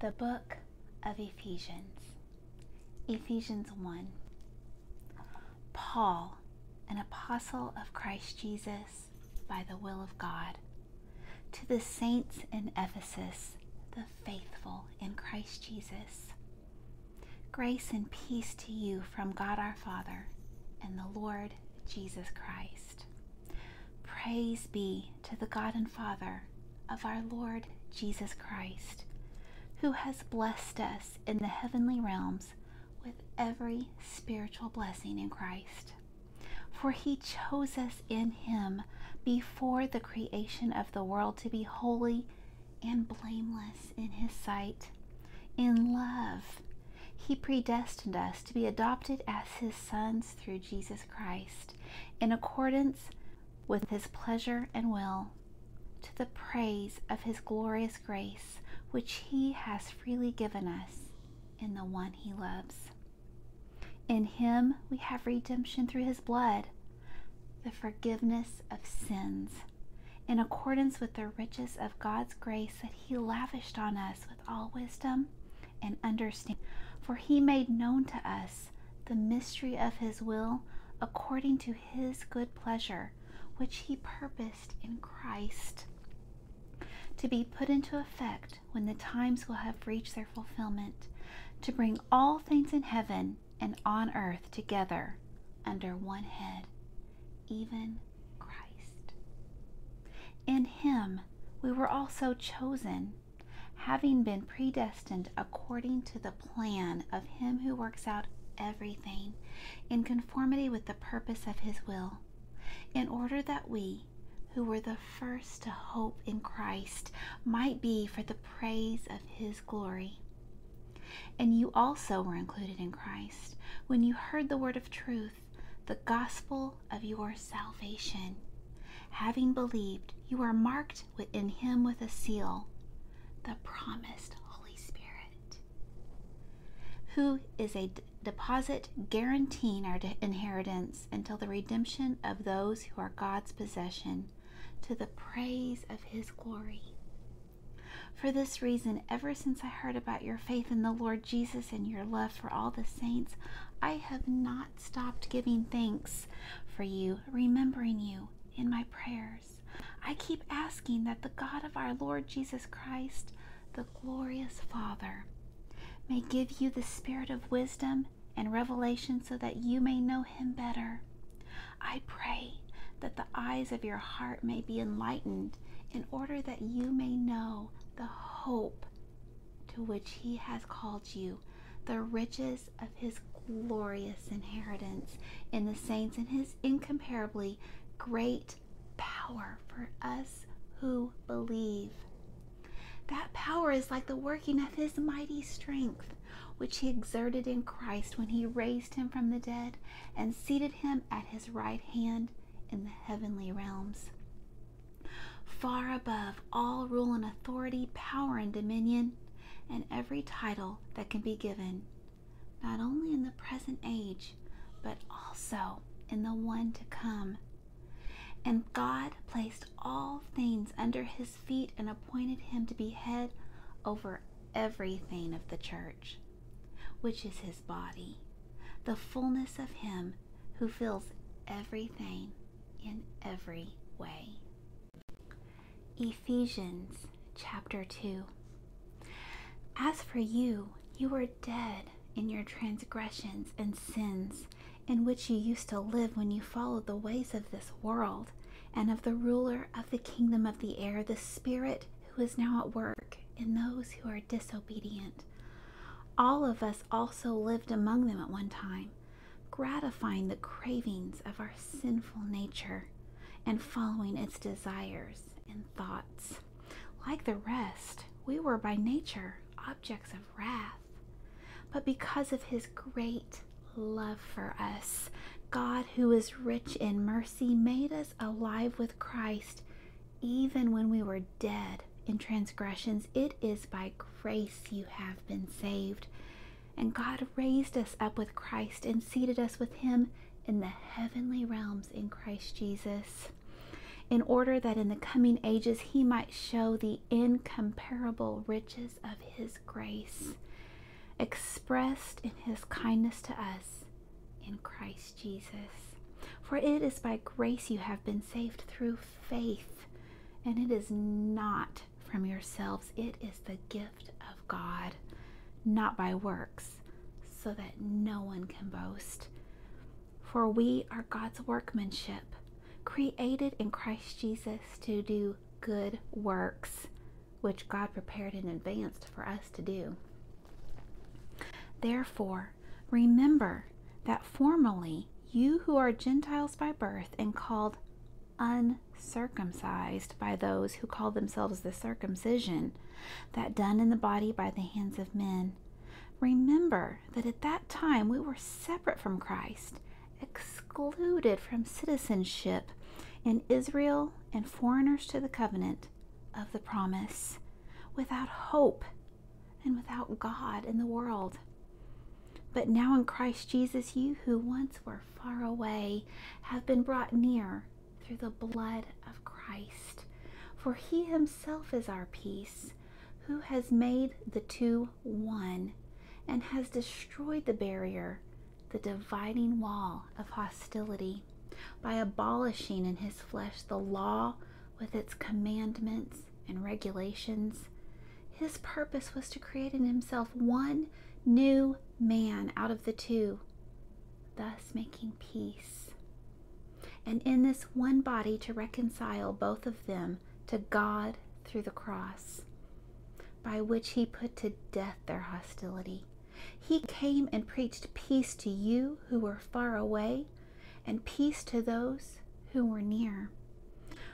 The Book of Ephesians, Ephesians 1. Paul, an apostle of Christ Jesus by the will of God, to the saints in Ephesus, the faithful in Christ Jesus. Grace and peace to you from God our Father and the Lord Jesus Christ. Praise be to the God and Father of our Lord Jesus Christ, who has blessed us in the heavenly realms with every spiritual blessing in Christ. For he chose us in him before the creation of the world to be holy and blameless in his sight. In love, he predestined us to be adopted as his sons through Jesus Christ, in accordance with his pleasure and will, to the praise of his glorious grace, which he has freely given us in the one he loves. In him we have redemption through his blood, the forgiveness of sins in accordance with the riches of God's grace that He lavished on us with all wisdom and understanding. For He made known to us the mystery of His will according to His good pleasure, which He purposed in Christ to be put into effect when the times will have reached their fulfillment, to bring all things in heaven and on earth together under one head, even Christ. In him we were also chosen, having been predestined according to the plan of him who works out everything in conformity with the purpose of his will, in order that we, who were the first to hope in Christ, might be for the praise of his glory. And you also were included in Christ when you heard the word of truth, the gospel of your salvation. Having believed, you are marked within him with a seal, the promised Holy Spirit, who is a deposit guaranteeing our inheritance until the redemption of those who are God's possession to the praise of his glory. For this reason, ever since I heard about your faith in the Lord Jesus and your love for all the saints, I have not stopped giving thanks for you, remembering you in my prayers. I keep asking that the God of our Lord Jesus Christ, the glorious Father, may give you the spirit of wisdom and revelation so that you may know him better. I pray that the eyes of your heart may be enlightened, in order that you may know the hope to which He has called you, the riches of His glorious inheritance in the saints, and His incomparably great power for us who believe. That power is like the working of his mighty strength, which he exerted in Christ when he raised him from the dead and seated him at his right hand in the heavenly realms. Far above all rule and authority, power and dominion, and every title that can be given, not only in the present age, but also in the one to come. And God placed all things under his feet and appointed him to be head over everything of the church which is his body, the fullness of him who fills everything in every way. Ephesians chapter 2 As for you, you were dead in your transgressions and sins, in which you used to live when you followed the ways of this world and of the ruler of the kingdom of the air, the spirit who is now at work, in those who are disobedient. All of us also lived among them at one time, gratifying the cravings of our sinful nature and following its desires and thoughts. Like the rest, we were by nature objects of wrath. But because of his great love for us, God, who is rich in mercy, made us alive with Christ even when we were dead in transgressions. It is by grace you have been saved. And God raised us up with Christ and seated us with Him in the heavenly realms in Christ Jesus, in order that in the coming ages He might show the incomparable riches of His grace, expressed in His kindness to us in Christ Jesus. For it is by grace you have been saved through faith, and it is not from yourselves, it is the gift of God, not by works, so that no one can boast. For we are God's workmanship, created in Christ Jesus to do good works, which God prepared in advance for us to do. Therefore, remember that formerly you who are Gentiles by birth and called uncircumcised by those who call themselves the circumcision, that done in the body by the hands of men. Remember that at that time we were separate from Christ, excluded from citizenship in Israel and foreigners to the covenant of the promise, without hope and without God in the world. But now in Christ Jesus, you who once were far away have been brought near through the blood of Christ. For he himself is our peace, who has made the two one and has destroyed the barrier the dividing wall of hostility by abolishing in his flesh the law with its commandments and regulations. His purpose was to create in himself one new man out of the two, thus making peace. And in this one body to reconcile both of them to God through the cross, by which he put to death their hostility. He came and preached peace to you who were far away, and peace to those who were near.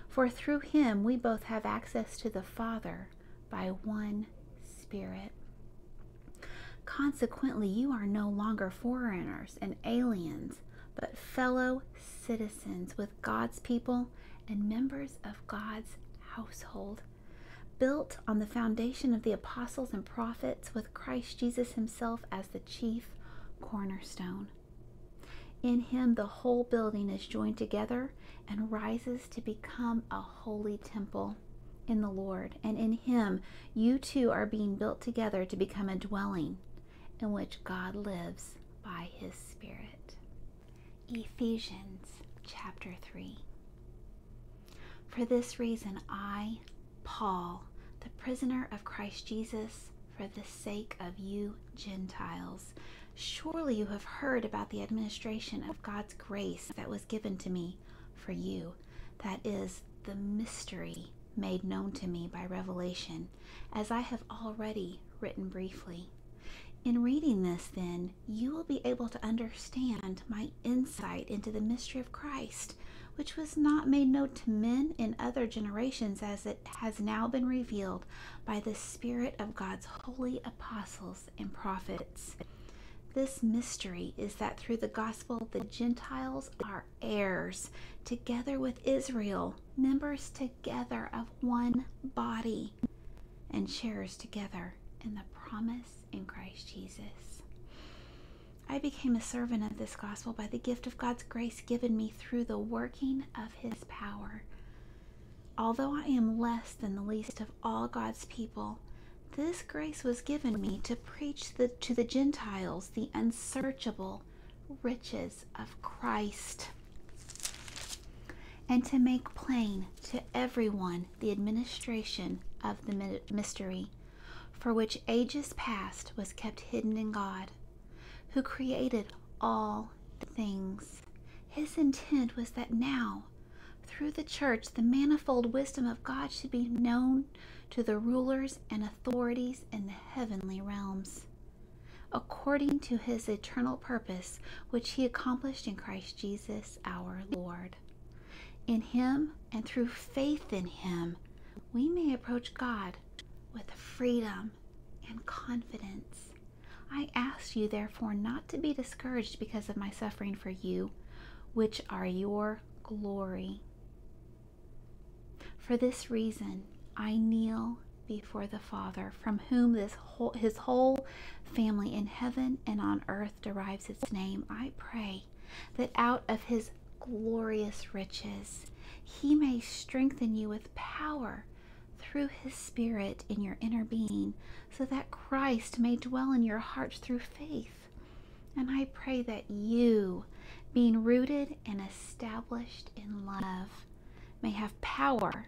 For through him we both have access to the Father by one Spirit. Consequently, you are no longer foreigners and aliens, but fellow citizens with God's people and members of God's household built on the foundation of the apostles and prophets, with Christ Jesus Himself as the chief cornerstone. In Him, the whole building is joined together and rises to become a holy temple in the Lord. And in Him, you two are being built together to become a dwelling in which God lives by His Spirit. Ephesians chapter 3. For this reason, I, Paul, the prisoner of Christ Jesus, for the sake of you Gentiles, surely you have heard about the administration of God's grace that was given to me for you. That is, the mystery made known to me by revelation, as I have already written briefly. In reading this, then, you will be able to understand my insight into the mystery of Christ, which was not made known to men in other generations as it has now been revealed by the Spirit of God's holy apostles and prophets. This mystery is that through the gospel, the Gentiles are heirs, together with Israel, members together of one body be and sharers together in the promise in Christ Jesus. I became a servant of this gospel by the gift of God's grace given me through the working of his power. Although I am less than the least of all God's people, this grace was given me to preach to the Gentiles the unsearchable riches of Christ and to make plain to everyone the administration of the mystery, for which ages past was kept hidden in God, who created all things. His intent was that now, through the church, the manifold wisdom of God should be known to the rulers and authorities in the heavenly realms, according to his eternal purpose which he accomplished in Christ Jesus our Lord. In him and through faith in him, we may approach God with freedom and confidence. I ask you, therefore, not to be discouraged because of my suffering for you, which are your glory. For this reason, I kneel before the Father, from whom this his whole family in heaven and on earth derives its name, I pray that out of his glorious riches he may strengthen you with power through his Spirit in your inner being, so that Christ may dwell in your hearts through faith. And I pray that you, being rooted and established in love, may have power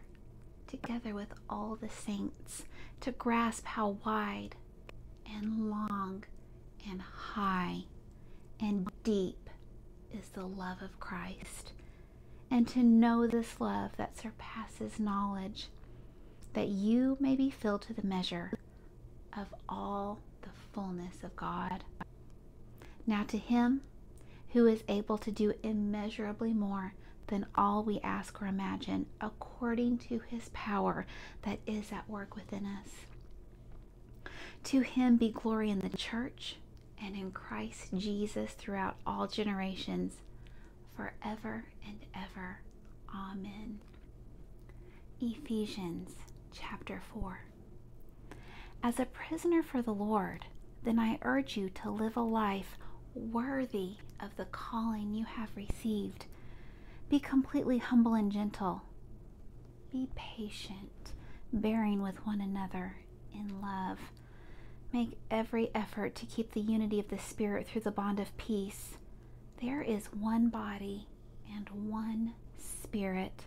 together with all the saints, to grasp how wide and long and high and deep is the love of Christ, and to know this love that surpasses knowledge, that you may be filled to the measure of all the fullness of God. Now, to him who is able to do immeasurably more than all we ask or imagine, according to His power that is at work within us. To Him be glory in the church and in Christ Jesus throughout all generations, forever and ever. Amen. Ephesians chapter 4. As a prisoner for the Lord, then I urge you to live a life worthy of the calling you have received. Be completely humble and gentle. Be patient, bearing with one another in love. Make every effort to keep the unity of the Spirit through the bond of peace. There is one body and one Spirit.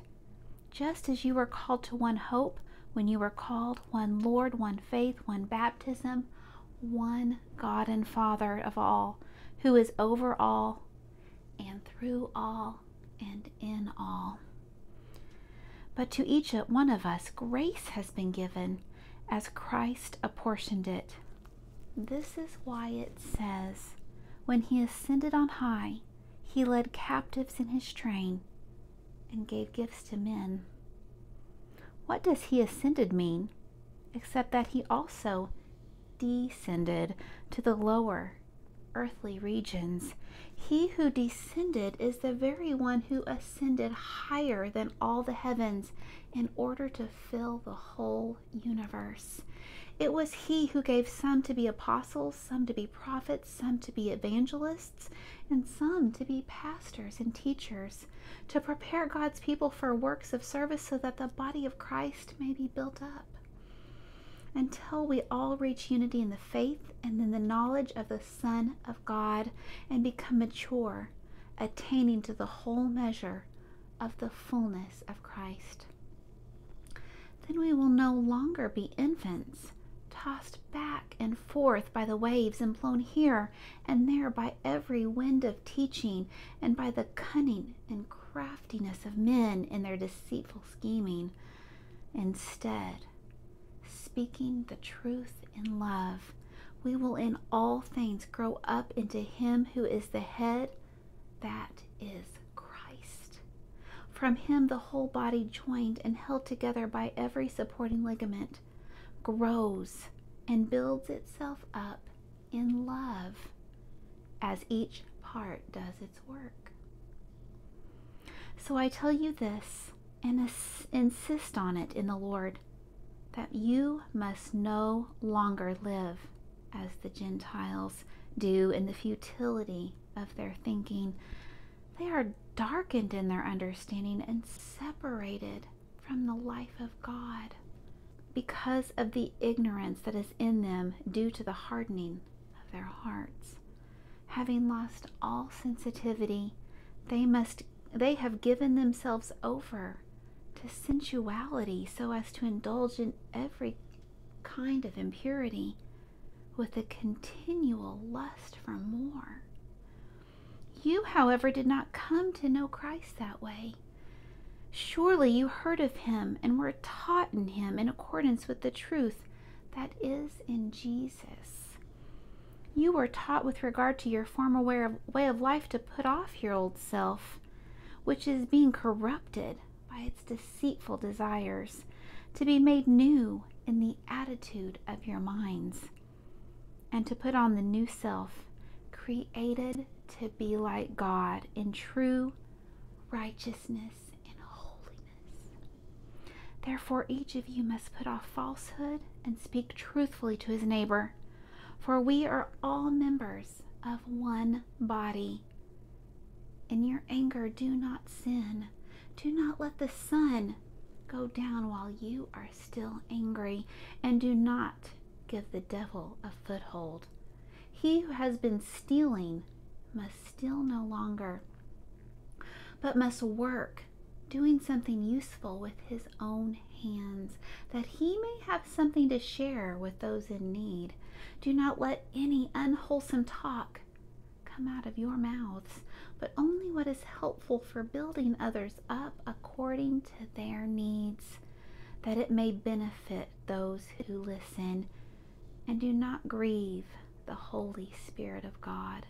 Just as you are called to one hope when you were called one Lord, one faith, one baptism, one God and Father of all, who is over all and through all and in all. But to each one of us, grace has been given as Christ apportioned it. This is why it says, When he ascended on high, he led captives in his train and gave gifts to men. What does he ascended mean, except that he also descended to the lower earthly regions? He who descended is the very one who ascended higher than all the heavens in order to fill the whole universe. It was he who gave some to be apostles, some to be prophets some to be evangelists, and some to be pastors and teachers, to prepare God's people for works of service so that the body of Christ may be built up. Until we all reach unity in the faith and in the knowledge of the Son of God and become mature, attaining to the whole measure of the fullness of Christ. Then we will no longer be infants tossed back and forth by the waves and blown here and there by every wind of teaching and by the cunning and craftiness of men in their deceitful scheming. Instead, speaking the truth in love, we will in all things grow up into Him who is the head, that is Christ. From Him, the whole body joined and held together by every supporting ligament grows and builds itself up in love as each part does its work. So I tell you this and insist on it in the Lord that you must no longer live as the Gentiles do in the futility of their thinking. They are darkened in their understanding and separated from the life of God because of the ignorance that is in them due to the hardening of their hearts. Having lost all sensitivity, they must they have given themselves over to sensuality so as to indulge in every kind of impurity with a continual lust for more. You, however, did not come to know Christ that way. Surely you heard of him and were taught in him in accordance with the truth that is in Jesus. You were taught with regard to your former way of, life to put off your old self, which is being corrupted by its deceitful desires, to be made new in the attitude of your minds and to put on the new self created to be like God in true righteousness and holiness. Therefore, each of you must put off falsehood and speak truthfully to his neighbor, for we are all members of one body. In your anger, do not sin. Do not let the sun go down while you are still angry, and do not give the devil a foothold. He who has been stealing must steal no longer, but must work, doing something useful with his own hands, that he may have something to share with those in need. Do not let any unwholesome talk come out of your mouths, but only what is helpful for building others up according to their needs, that it may benefit those who listen. And do not grieve the Holy Spirit of God,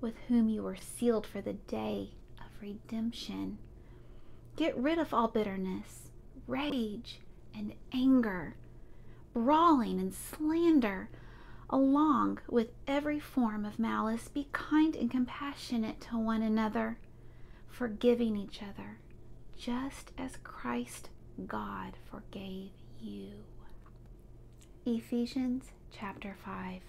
with whom you were sealed for the day of redemption. Get rid of all bitterness, rage, and anger brawling, and slander, along with every form of malice. Be kind and compassionate to one another, forgiving each other, just as Christ God forgave you. Ephesians chapter 5.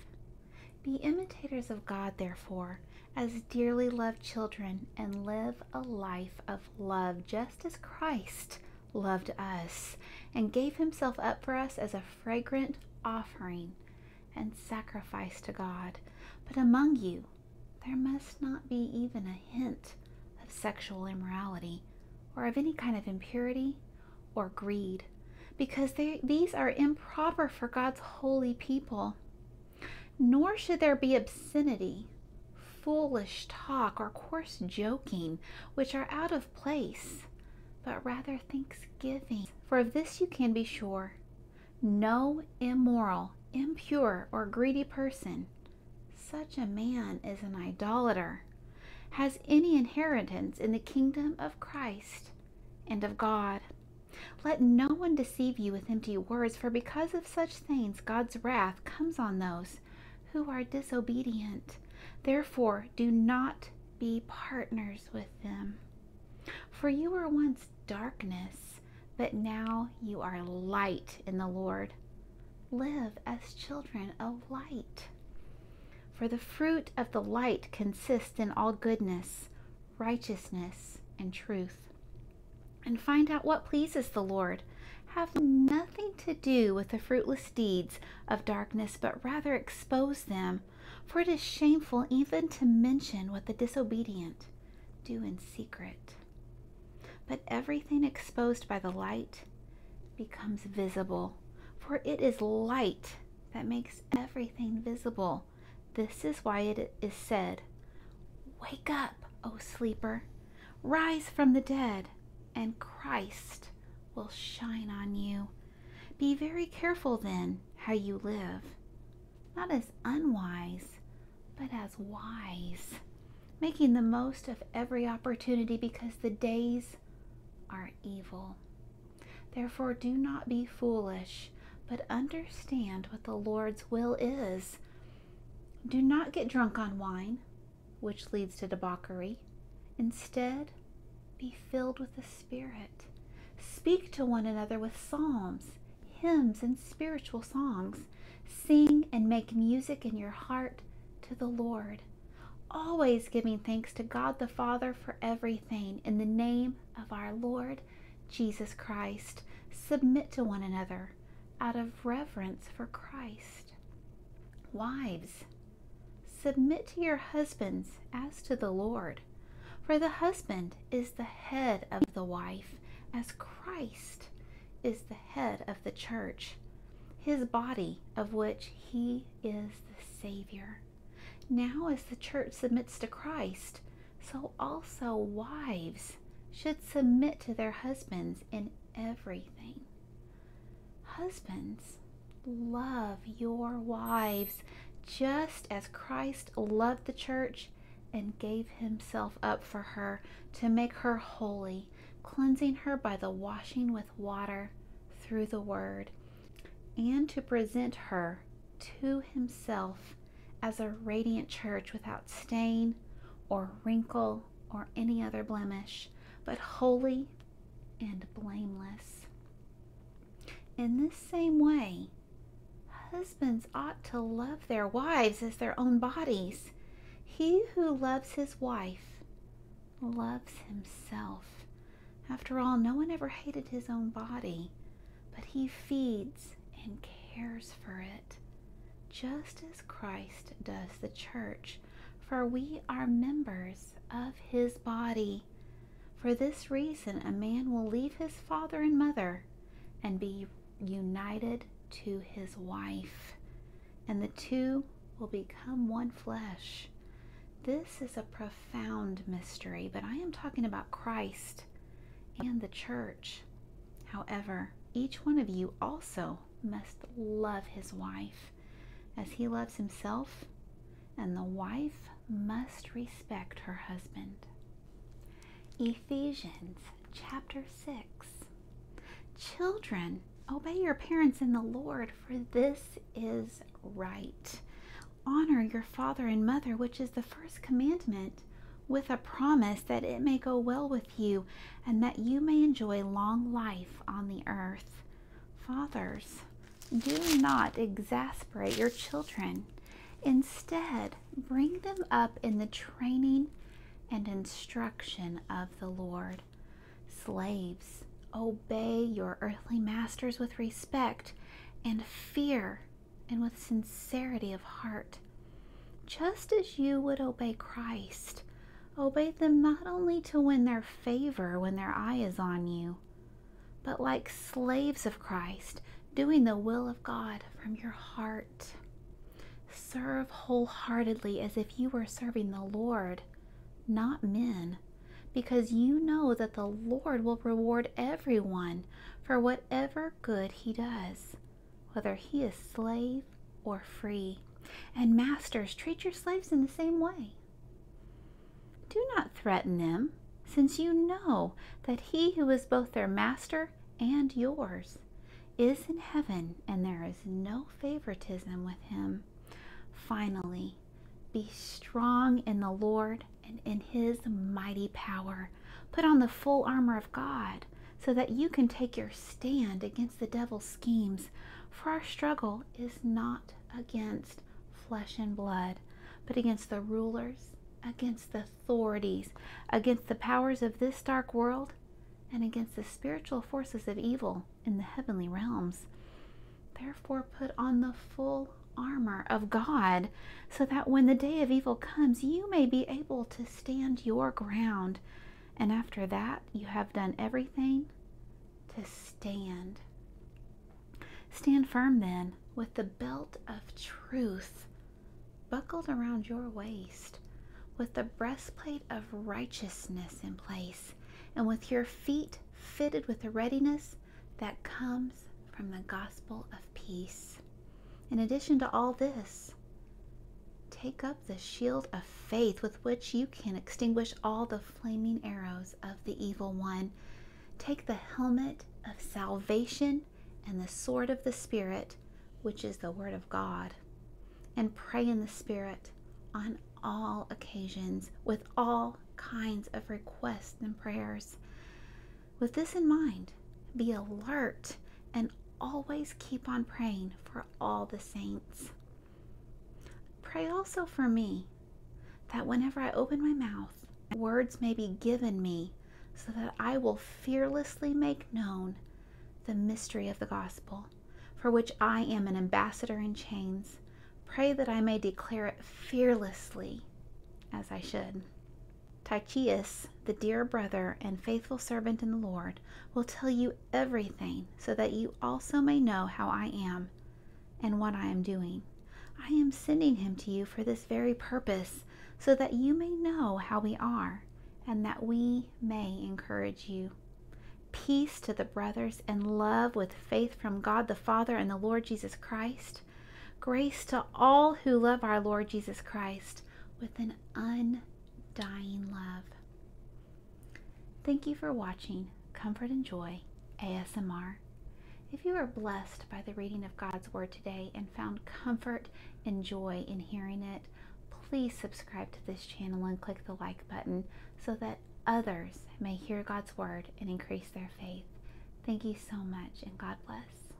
Be imitators of God, therefore, as dearly loved children, and live a life of love, just as Christ loved us and gave himself up for us as a fragrant offering and sacrifice to God. But among you, there must not be even a hint of sexual immorality or of any kind of impurity or greed, because these are improper for God's holy people. Nor should there be obscenity, foolish talk or coarse joking, which are out of place, but rather thanksgiving. For of this you can be sure no immoral, impure, or greedy person, such a man is an idolater, has any inheritance in the kingdom of Christ and of God. Let no one deceive you with empty words, for because of such things God's wrath comes on those who are disobedient. Therefore, do not be partners with them. For you were once darkness, but now you are light in the Lord. Live as children of light. For the fruit of the light consists in all goodness, righteousness, and truth. And find out what pleases the Lord, have nothing to do with the fruitless deeds of darkness, but rather expose them. For it is shameful even to mention what the disobedient do in secret. But everything exposed by the light becomes visible, for it is light that makes everything visible. This is why it is said, Wake up, O sleeper. Rise from the dead, and Christ will shine on you. Be very careful then how you live, not as unwise, but as wise, making the most of every opportunity because the days are evil. Therefore, do not be foolish, but understand what the Lord's will is. Do not get drunk on wine which leads to debauchery. Instead, be filled with the Spirit. Speak to one another with psalms, hymns, and spiritual songs. Sing and make music in your heart to the Lord, always giving thanks to God the Father for everything in the name of our Lord Jesus Christ. Submit to one another out of reverence for Christ. Wives, submit to your husbands as to the Lord. For the husband is the head of the wife, as Christ is the head of the church, his body, of which he is the Savior. Now, as the church submits to Christ, so also wives should submit to their husbands in everything. Husbands, love your wives just as Christ loved the church and gave himself up for her to make her holy, cleansing her by the washing with water through the word, and to present her to himself as a radiant church without stain or wrinkle or any other blemish, but holy and blameless. In this same way, husbands ought to love their wives as their own bodies. He who loves his wife loves himself. After all, no one ever hated his own body, but he feeds and cares for it just as Christ does the church, for we are members of his body. For this reason, a man will leave his father and mother and be united to his wife, and the two will become one flesh. This is a profound mystery, but I am talking about Christ and the church. However, each one of you also must love his wife as he loves himself, and the wife must respect her husband. Ephesians chapter 6 Children, obey your parents in the Lord, for this is right. Honor your father and mother, which is the first commandment, with a promise that it may go well with you and that you may enjoy long life on the earth. Fathers, do not exasperate your children. Instead, bring them up in the training and instruction of the Lord. Slaves, obey your earthly masters with respect and fear and with sincerity of heart, just as you would obey Christ, obey them not only to win their favor when their eye is on you, but like slaves of Christ, doing the will of God from your heart. Serve wholeheartedly as if you were serving the Lord, not men, because you know that the Lord will reward everyone for whatever good he does, whether he is slave or free. And masters, treat your slaves in the same way. Do not threaten them, since you know that he who is both their master and yours is in heaven, and there is no favoritism with him. Finally, be strong in the Lord and in his mighty power. Put on the full armor of God, so that you can take your stand against the devil's schemes. For our struggle is not against flesh and blood, but against the rulers, against the authorities, against the powers of this dark world, and against the spiritual forces of evil in the heavenly realms. Therefore, put on the full armor of God, so that when the day of evil comes, you may be able to stand your ground. And after that, you have done everything to stand. Stand firm then with the belt of truth buckled around your waist, with the breastplate of righteousness in place, and with your feet fitted with the readiness that comes from the gospel of peace. In addition to all this, take up the shield of faith with which you can extinguish all the flaming arrows of the evil one. Take the helmet of salvation and the sword of the Spirit, which is the Word of God, and pray in the Spirit on all occasions with all kinds of requests and prayers. With this in mind, be alert and always keep on praying for all the saints. Pray also for me, that whenever I open my mouth, words may be given me, so that I will fearlessly make known the mystery of the gospel, for which I am an ambassador in chains. Pray that I may declare it fearlessly as I should. Tychius, the dear brother and faithful servant in the Lord, will tell you everything so that you also may know how I am and what I am doing. I am sending him to you for this very purpose, so that you may know how we are and that we may encourage you. Peace to the brothers and love with faith from God the Father and the Lord Jesus Christ. Grace to all who love our Lord Jesus Christ with an un dying love. Thank you for watching Comfort and Joy ASMR. If you were blessed by the reading of God's Word today and found comfort and joy in hearing it, please subscribe to this channel and click the like button so that others may hear God's Word and increase their faith. Thank you so much, and God bless.